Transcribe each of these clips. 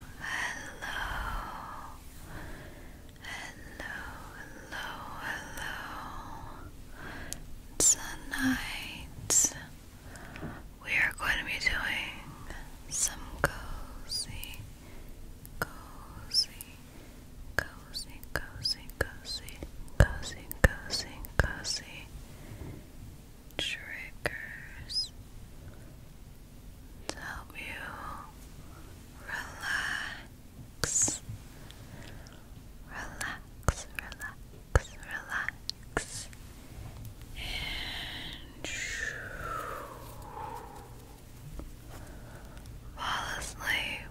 hello, hello, hello. Tonight we are going to be doing some cozy, cozy, cozy, cozy, cozy, cozy, cozy, cozy triggers to help you relax, relax, relax, relax, and fall asleep.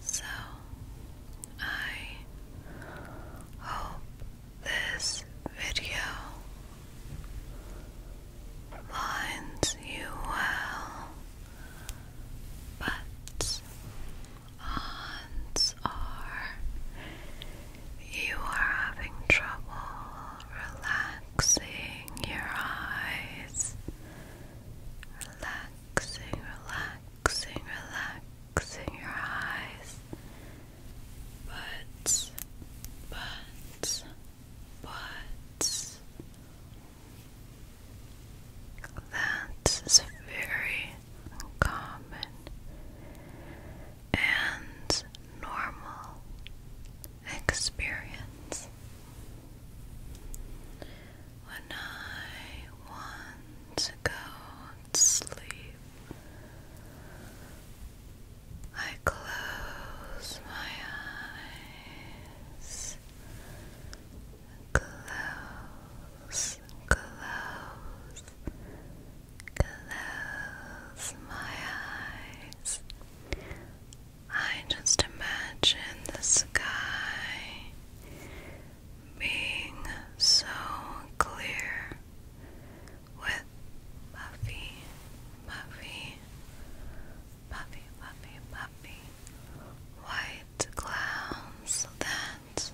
So, I hope this video lines you well, but odds are you are having trouble relaxing your eyes, relaxing, relaxing, relaxing your eyes but, but, but that is very common and normal experience. When I want to go to sleep, I close my eyes. Close, close, close my eyes. I just imagine the sky being so clear with Puffy, Puffy, Puffy, Puffy, Puffy, white clowns that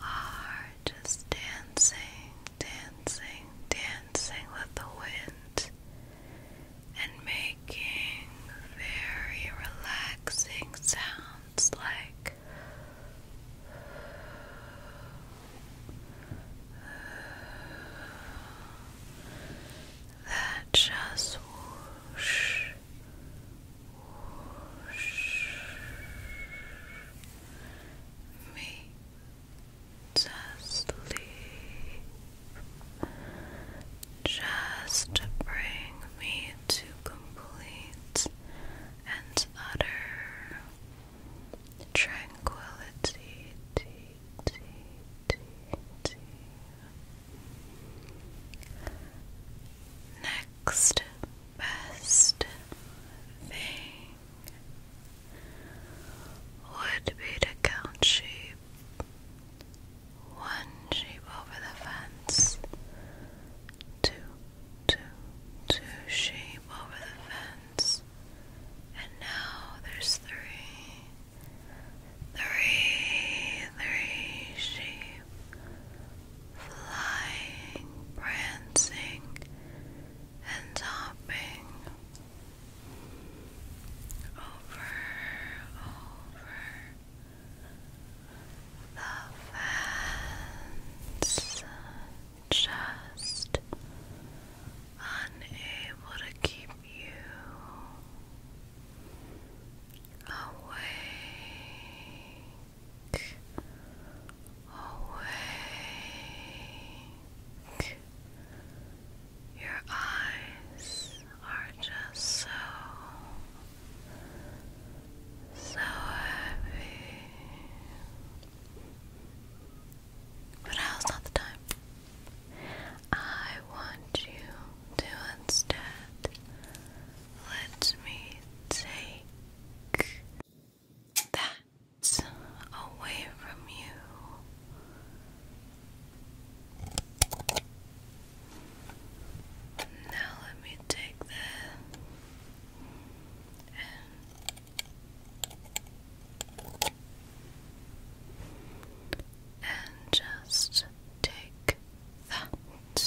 are just dancing, dancing, dancing with the wind and making very relaxing sounds like that just whoosh, me to sleep, just bring me to complete and utter tranquility next best thing would be to count sheep one sheep over the fence two, two, two sheep over the and now there's three, three, three sheep flying, prancing, and hopping over, over the fence just unable to keep you awake, awake. Your eyes are just so, so heavy. But now's not the time. I want you to instead let me take that away from you. Now let me take that and just take that and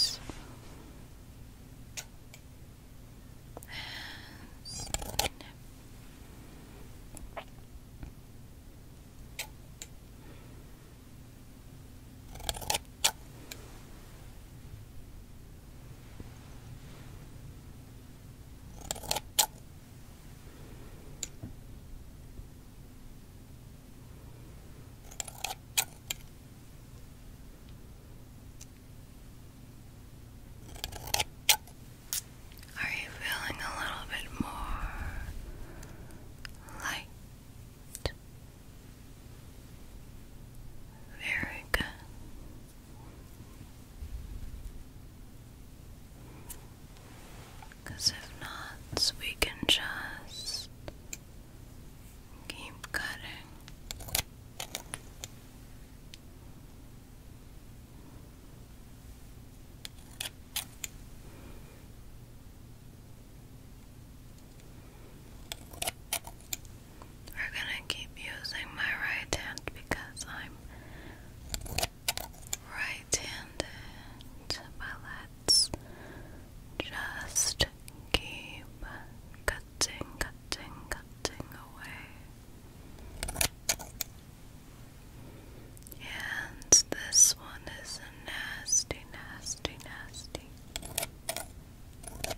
are you feeling a little bit more light? Very good. Because if not, we can just keep cutting. We're gonna keep using my right hand because I'm right handed, but let's just keep cutting, cutting, cutting away. And this one is nasty, nasty, nasty.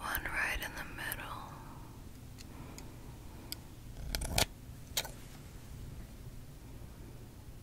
One right in the middle.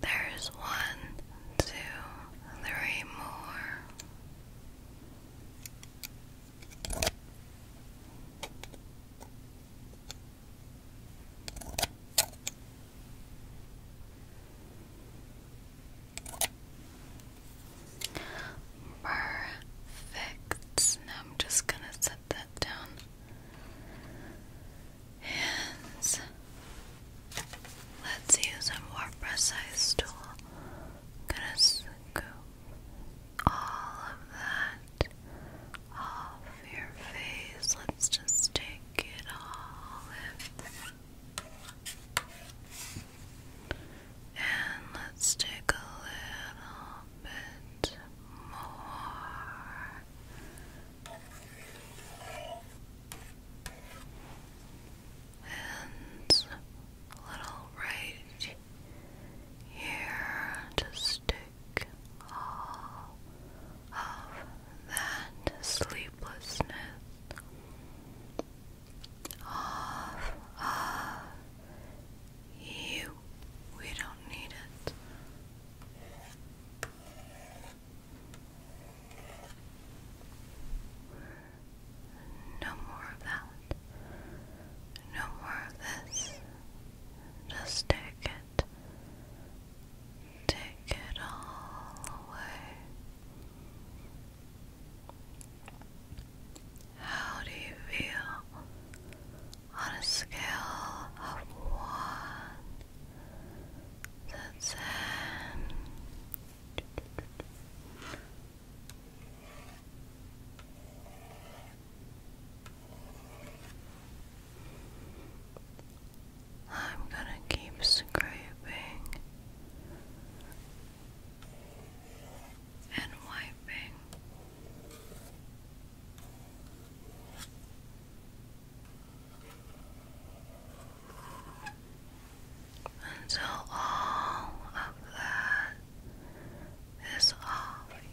There's one, two, three more. Perfect. I'm just going to set this down. Hands. Let's use a more precise tool. gonna scoop all of that off your face. Let's just take it all And let's take a little bit more and a little right here to stick all of that sleeplessness off of you. We don't need it. No more of that. No more of this. Just take it. Take it all away. How do you feel? on a scale of one to ten. I'm gonna keep scraping and wiping and all of that is off you.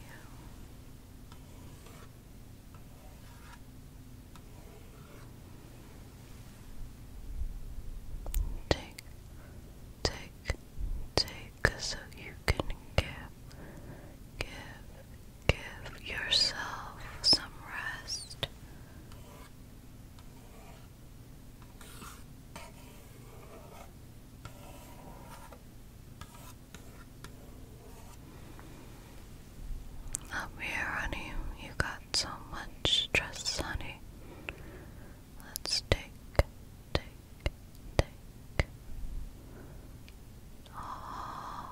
Take, take, take so you can give Give, give yourself some rest. Up here, honey. You got so much stress, honey. Let's take, take, take, all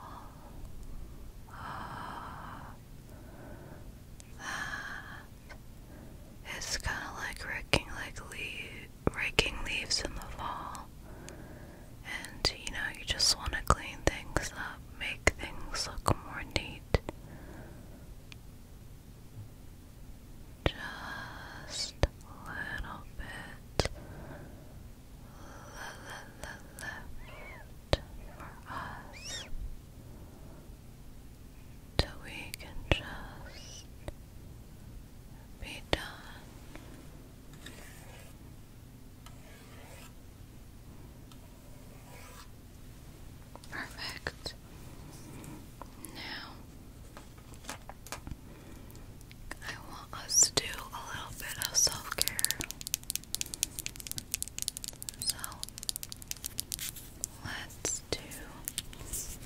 It's kind of like raking, like raking leaves in the fall, and you know you just want to clean things up, make things look more neat. Just a little bit left for us till we can just be done. Perfect. Now I want us to do a little bit of self care. So let's do. Just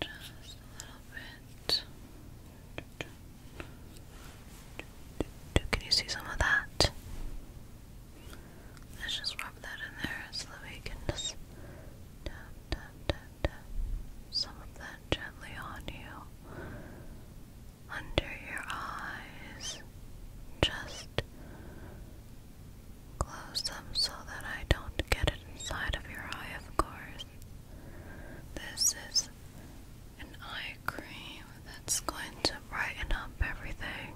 just a little bit. Can you see some of that? Let's just rub that in there so we can just some of that gently on you, under your eyes. Just close them so that I don't get it inside of your eye, of course. This is an eye cream that's going to brighten up everything.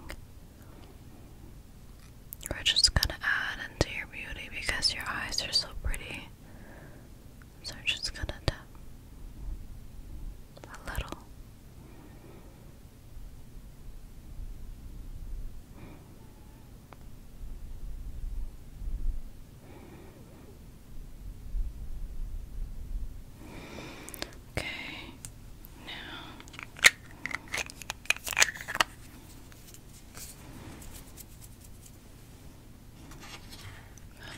We're just gonna add into your beauty because your eyes are so pretty. So we're just gonna tap a little. Okay, now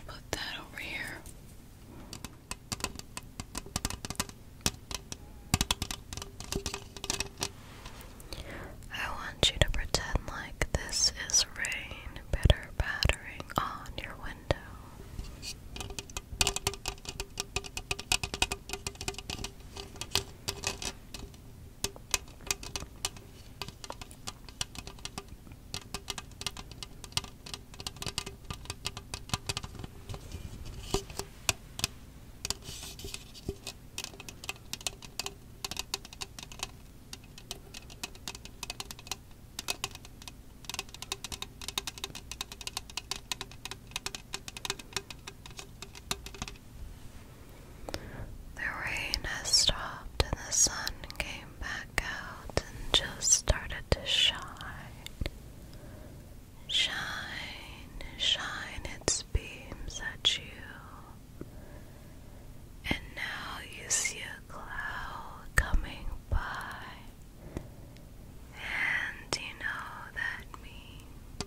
put that over here. I want you to pretend like this is rain bitter battering on your window. The rain has stopped and the sun came back out and just started to shine. Shine, shine its beams at you. And now you see a cloud coming by, and you know that means.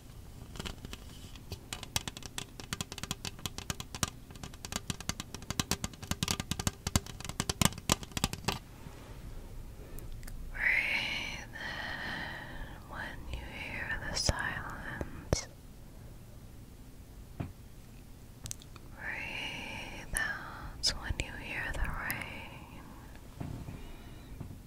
Breathe in when you hear the silence. Breathe out when you hear the rain.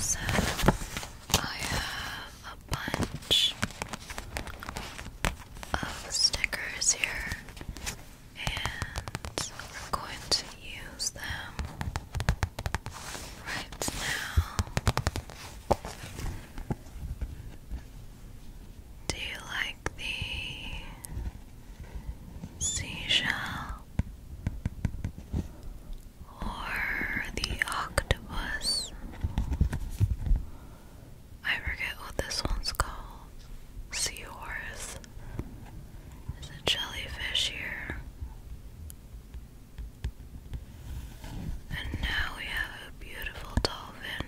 So I have a bunch of stickers here, and we're going to use them right now. Do you like the seashell or the octopus? I forget what this one's called. Sea horse. There's a jellyfish here. And now we have a beautiful dolphin.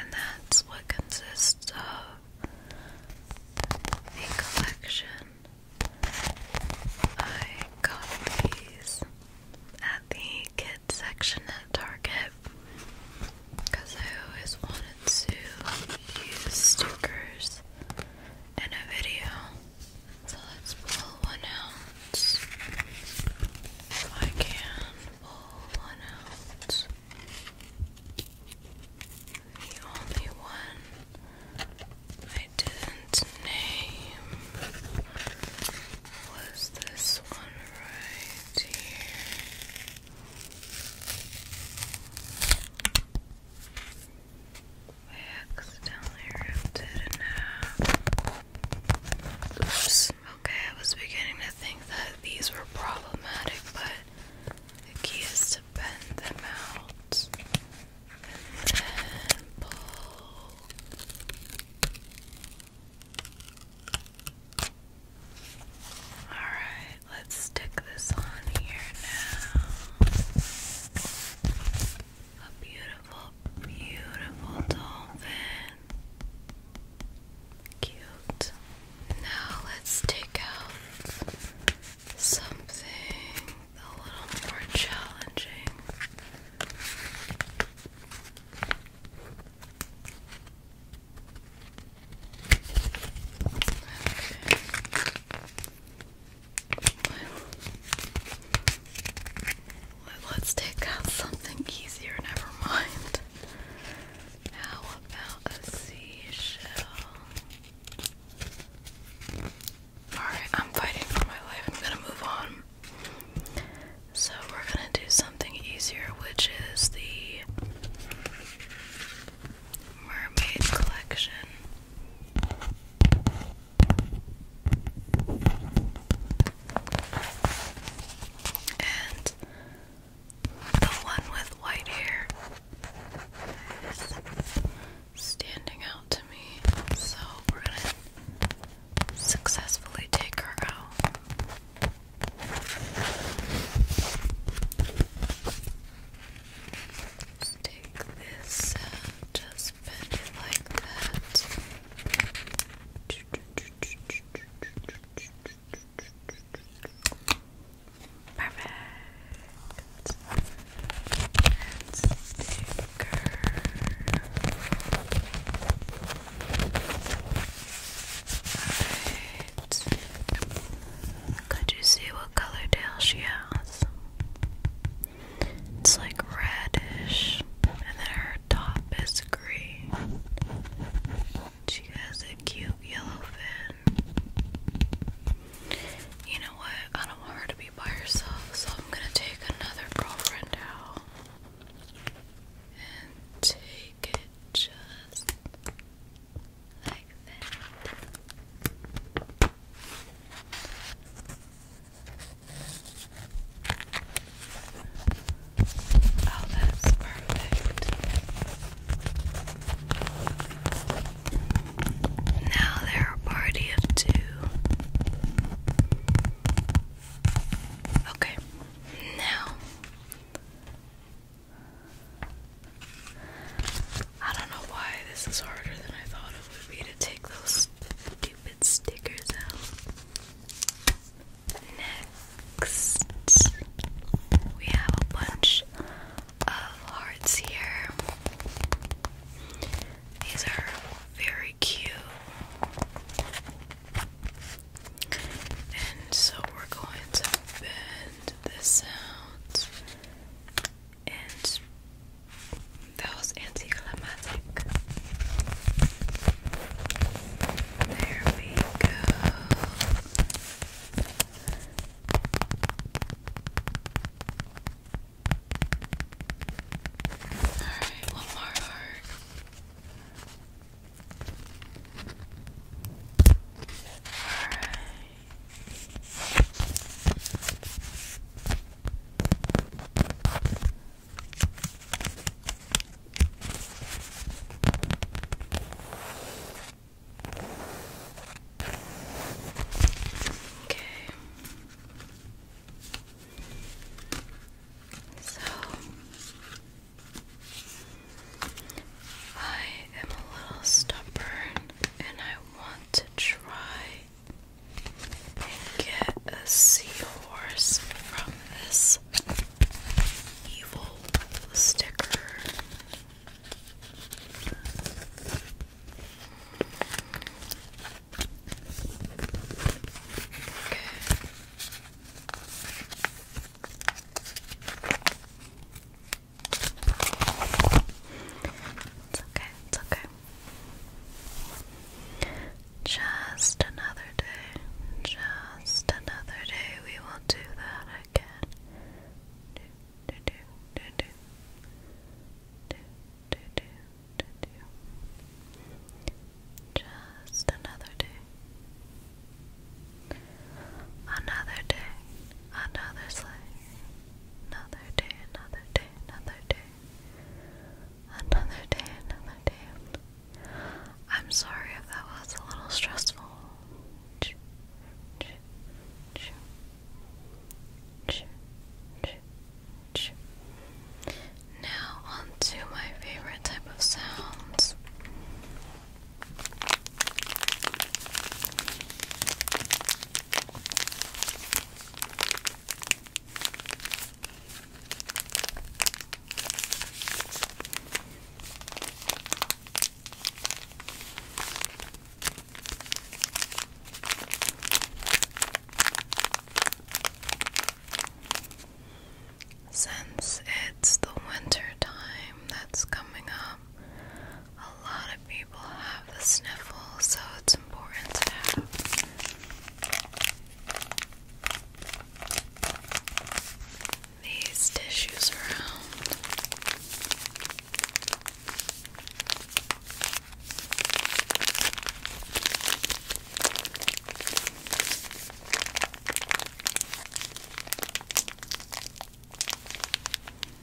And that's what consists of a collection. I got these at the kids section at Target because I always wanted to use stickers in a video. So let's pull one out. If I can pull one out. The only one I didn't name was this one right here. Okay, I was beginning to think that these were problematic, but the key is to bend them out and then pull. Alright, let's stick this on here now. A beautiful, beautiful dolphin. Cute. Now let's take out something a little more challenging. Let's take out something easier, never mind. How about a seashell? Alright, I'm fighting for my life. I'm gonna move on. So, we're gonna do something easier, which is the Mermaid Collection. And the one with white hair is standing out to me, so we're gonna successfully take her out. Just take this and just bend it like that. Perfect. Let's take her. Alright. Could you see what color tail she has. It's like reddish, and then her top is green. She has a cute yellow fin. You know what? I don't want her to be by herself, so I'm gonna take another girlfriend out and take it just Oh, that's perfect. Now they're a party of two. Okay, now I don't know why this is harder than I thought it would be to take those stupid stickers out. Next, we have a bunch of hearts here. These are very cute. And so we're going to bend this out and that was anticlimactic. There we go. Alright, one more Alright. Okay. So I am a little stubborn and I want to try and get a seahorse from this evil sticker. It's okay, it's okay. Just another day, just another day, we will do that again. Do, do, do, do, do. Do, do, do, do, do. Just another day. Another day, another sleigh, another day, another day, another day, another day, another day. I'm sorry if that was a little stressful. Now onto my favorite type of sounds. Since it's the winter time that's coming up. A lot of people have the sniffle, so it's important to have these tissues around.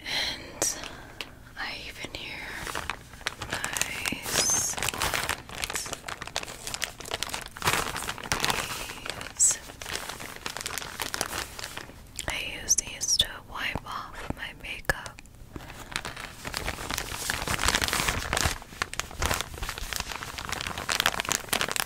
And I even hear nice I use these to wipe off my makeup.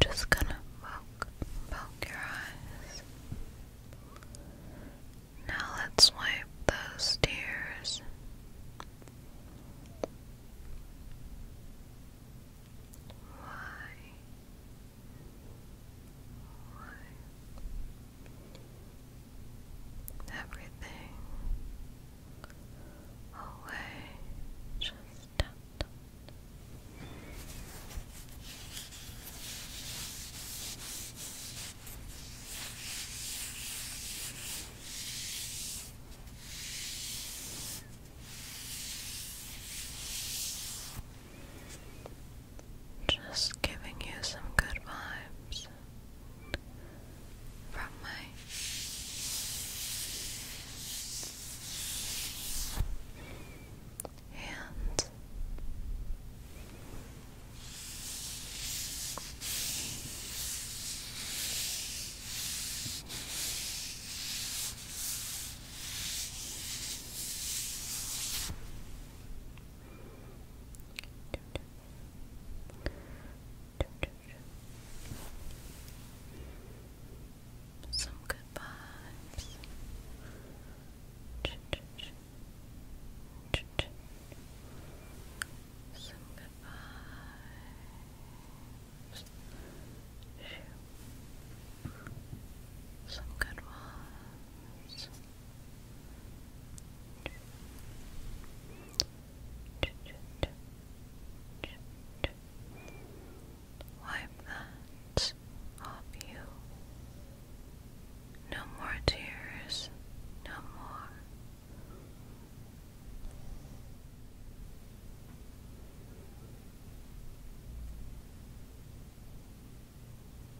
Just gonna poke, poke your eyes. Now let's wipe those tears. Why? Why? everything away just Just giving you some good vibes from my hand. Some good vibes. Some good vibes. Some good ones. Wipe that off you. No more tears, no more.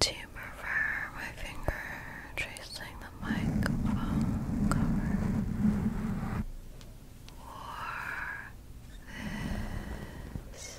To prefer my finger tracing the microphone cover or this.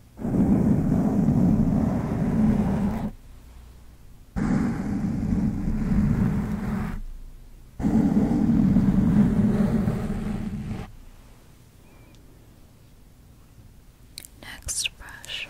Next brush.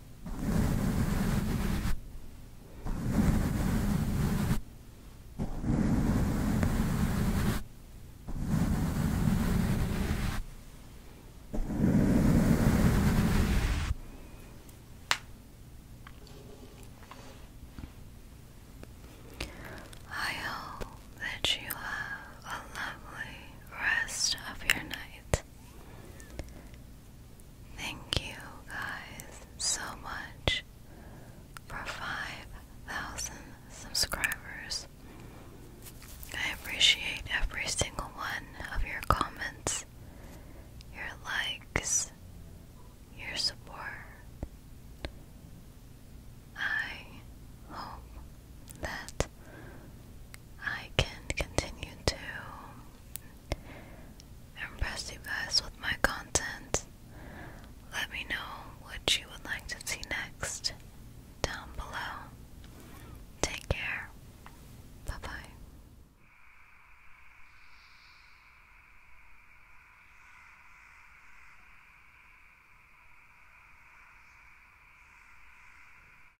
I hope that you have a lovely rest of your night. Thank you guys so much for 5,000 subscribers. I appreciate every single one of your comments, your likes, your support. I hope that I can continue to impress you guys with my content. Let me know what you would like to see next down below. Take care. Bye bye.